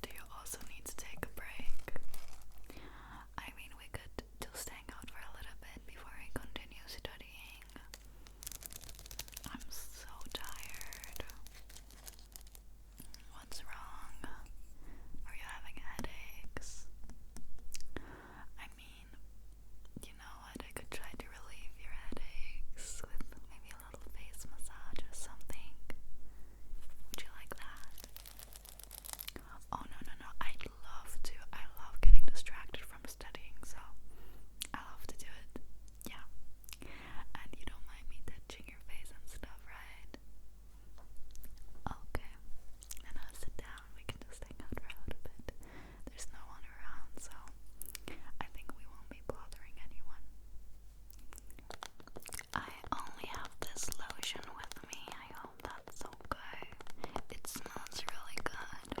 Do you also need to take a break? I mean, we could just hang out for a little bit before I continue studying. I'm so tired. What's wrong? Are you having headaches? I mean, you know what? I could try to relieve your headaches with maybe a little face massage or something. Would you like that? Oh, no, no, no. I love to. I love getting distracted from studying, so I love to do it. Yeah. And you don't mind me touching your face and stuff, right? Okay and I'll sit down. We can just hang out for a bit. There's no one around, so I think we won't be bothering anyone. I only have this lotion with me. I hope that's okay. It smells really good.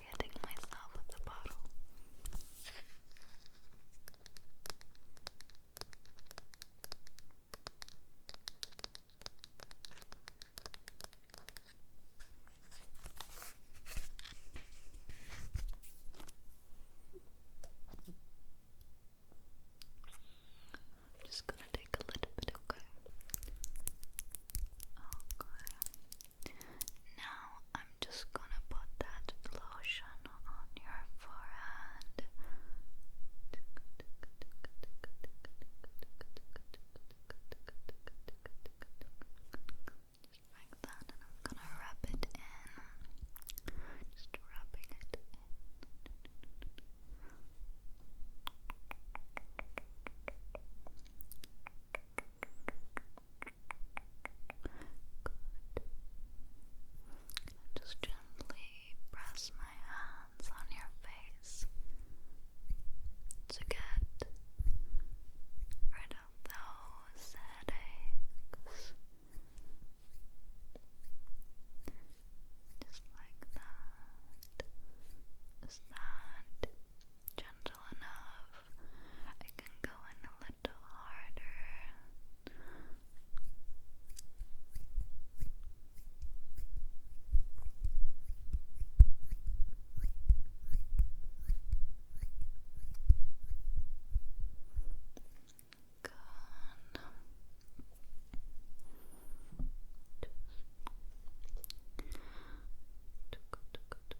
keep hitting myself with the bottle. I'm just gonna take a little bit, okay? Okay. Oh, now I'm just gonna put that lotion on your forehead. like that, and I'm gonna wrap it in. Just wrapping it in. Just gently press my hands on your face to get rid of those headaches. Just like that. Is that gentle enough? I can go in a little harder. Good. Just...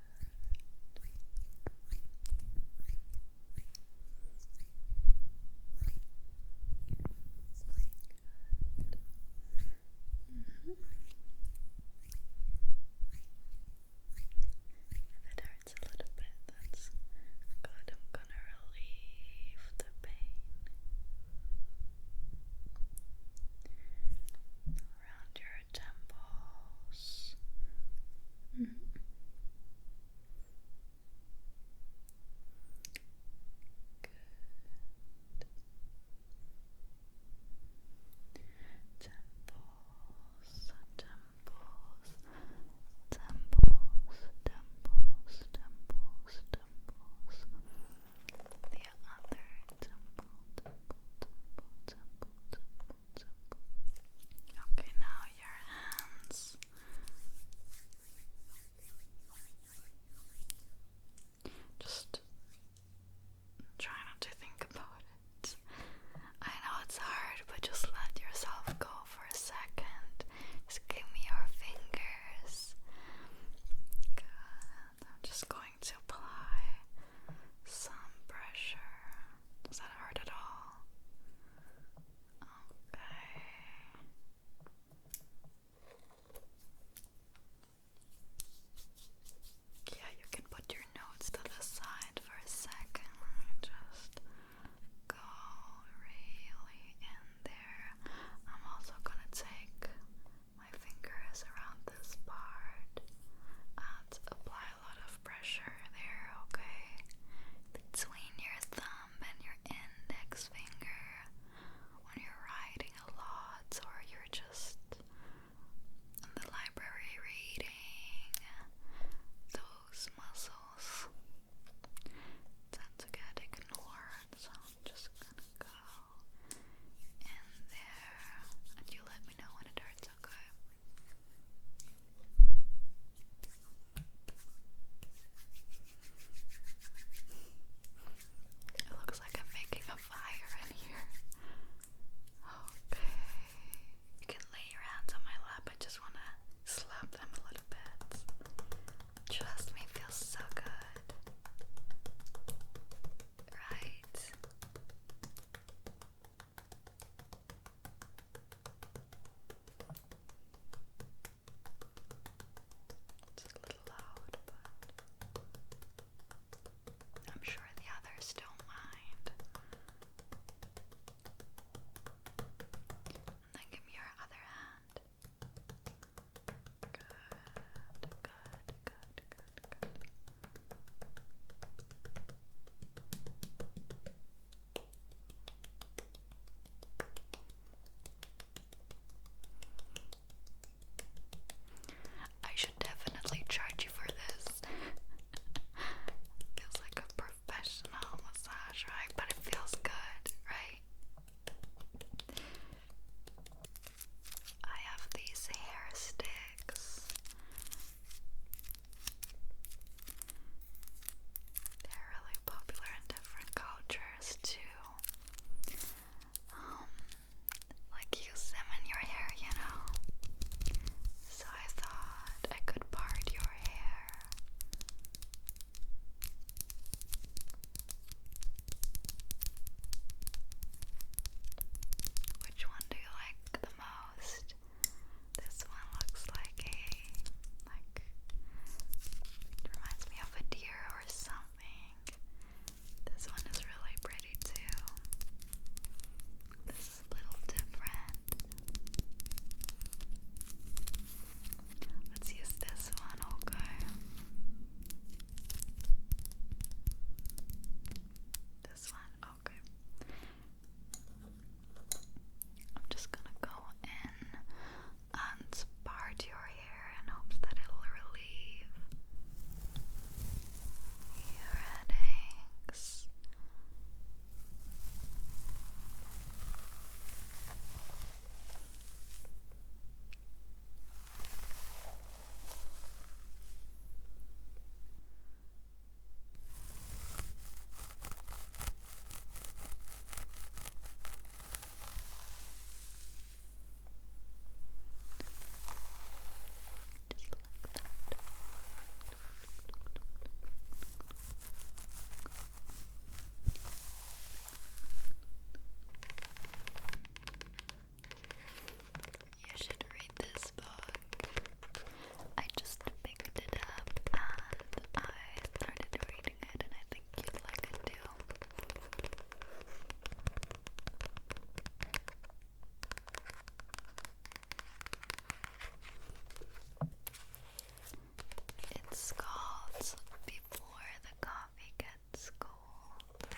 Mm -hmm. it hurts a little bit, that's good. I'm gonna relieve the pain. Around your temples. Mm -hmm. Good. Temples, temples, temples, temples, temples, temples. The other temple, temple, temple, temple, temple. Okay, now your hands. Just try not to think about it. I know it's hard, but just let yourself go for a second. Just give me your fingers. Good. I'm just going to apply some pressure does that hurt at all? Okay. Yeah, you can put your notes to the side for a second. Just go really in there. I'm also gonna take my fingers around this part and apply a lot of pressure there, okay? Between your thumb and your index finger when you're writing a lot or you're just in the library reading, those muscles tend to get ignored, so I'm just gonna go in there and you let me know when it hurts, okay? It looks like I'm making a fire in here. Okay. You can lay your hands on my lap. I just want to slap them a little bit. Trust me, feels so good. Right? It's a little loud, but I'm sure the others don't mind. then give me your other hand. Good, good, good, good, good. I should definitely charge you for this. feels like a professional massage, right? But it feels good, right? I have these hair sticks. They're really popular in different cultures too. Um, like use them in your hair, you know. So I thought I could part your hair. Which one do you like the most? This one looks like a like it reminds me of a deer or something. This one is really pretty too. This is a little different. Let's use this one, okay? This one I'm just gonna go in and part your hair and hope that it'll relieve your headaches. You should read this book. I just picked it up and I started reading it, and I think you'd like it too. It's called Before the Coffee Gets Cold.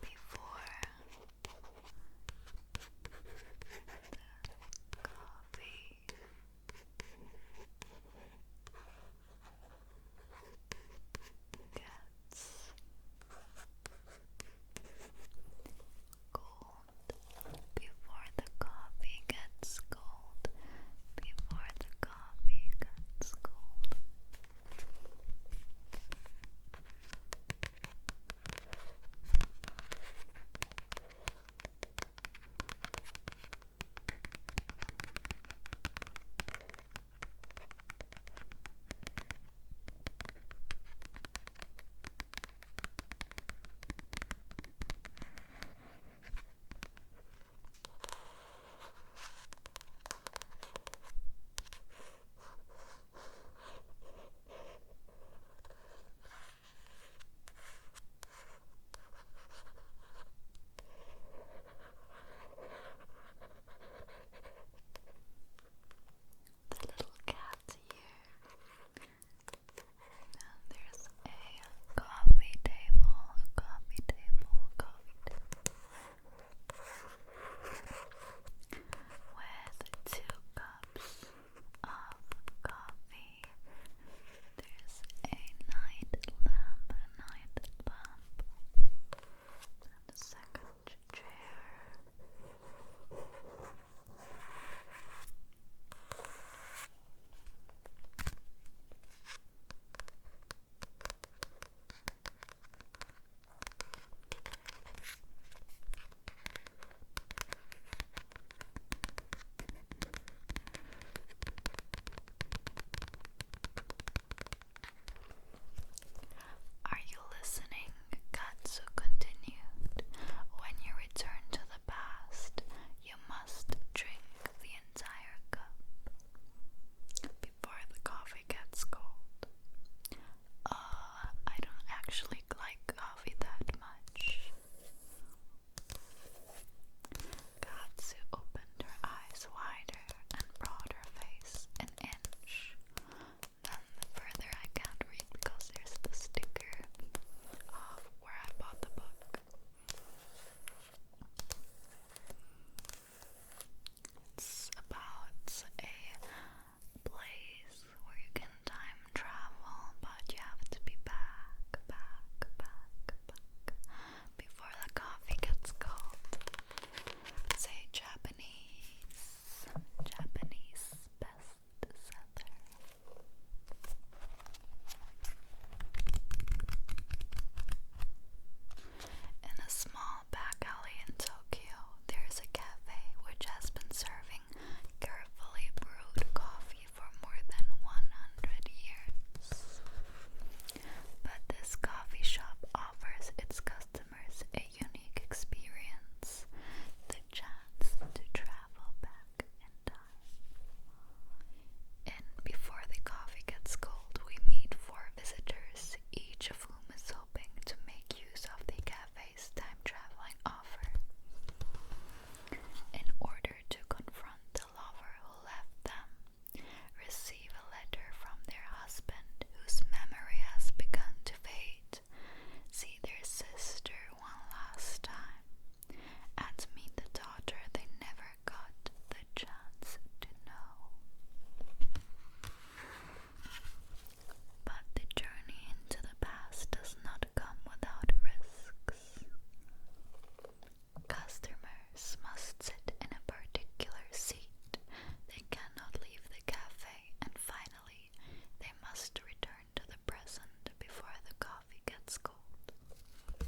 Before the coffee. Gets cold before the coffee gets cold, before the coffee gets cold. The little cat's here there's a coffee table, a coffee table, coffee table with two cups of coffee. There's a night lamp, a night lamp, second chair. Are you listening? Katsu continued. When you return to past, you must drink the entire cup before the coffee gets cold. Uh, I don't actually like coffee that much. Katsu opened her eyes wider and brought her face an inch. Then the further I can't read because there's the sticker of where I bought the book. It's about a place where you can time travel, but you have to be back, back, back, back before the coffee gets cold. Say Japanese, Japanese bestseller. In a small back alley in Tokyo, there is a cafe which has been serving carefully brewed coffee for more than 100 years. But this coffee shop offers its customers a unique experience the chance to travel back. And before the coffee gets cold, we meet four visitors, each of whom is hoping to make use of the cafe's time traveling offer. In order to confront the lover who left them, receive a letter from their husband whose memory has begun to fade, see their sister one last time, at Meet the Daughter, they never got the chance to know. But the journey into the past does not come without risks. Customers must sit in a particular seat. They cannot leave the cafe, and finally, they must return to the present before the coffee coffee gets cold. Oh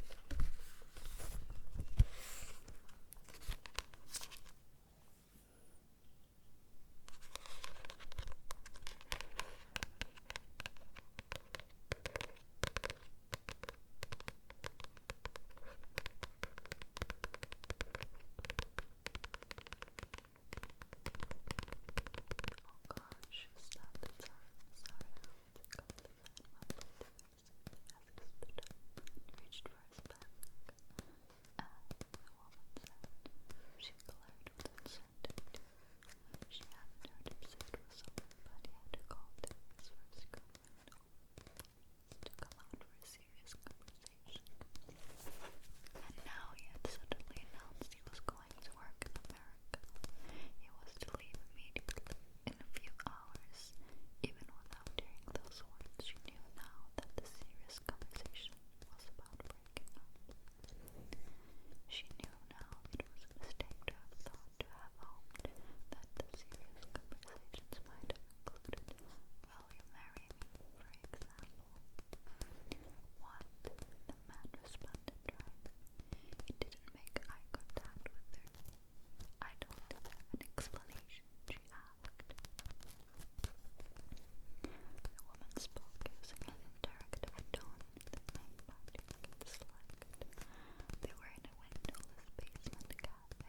gosh, stop the time. Sorry reached for his back, and the woman said she glared with incendent. She hadn't heard him say but he had called him his first girlfriend to come for a serious conversation. And now he had suddenly announced he was going to work in America. He was to leave immediately, in a few hours. Even without hearing those words, she knew now that the serious conversation was about breaking up. She knew now it was a mistake to have hoped that the serious conversations might have will you marry me, for example? What? The man responded, right? It didn't make eye contact with her. I told her an explanation. She asked. The woman spoke using an interactive tone They were in a windowless basement cafe.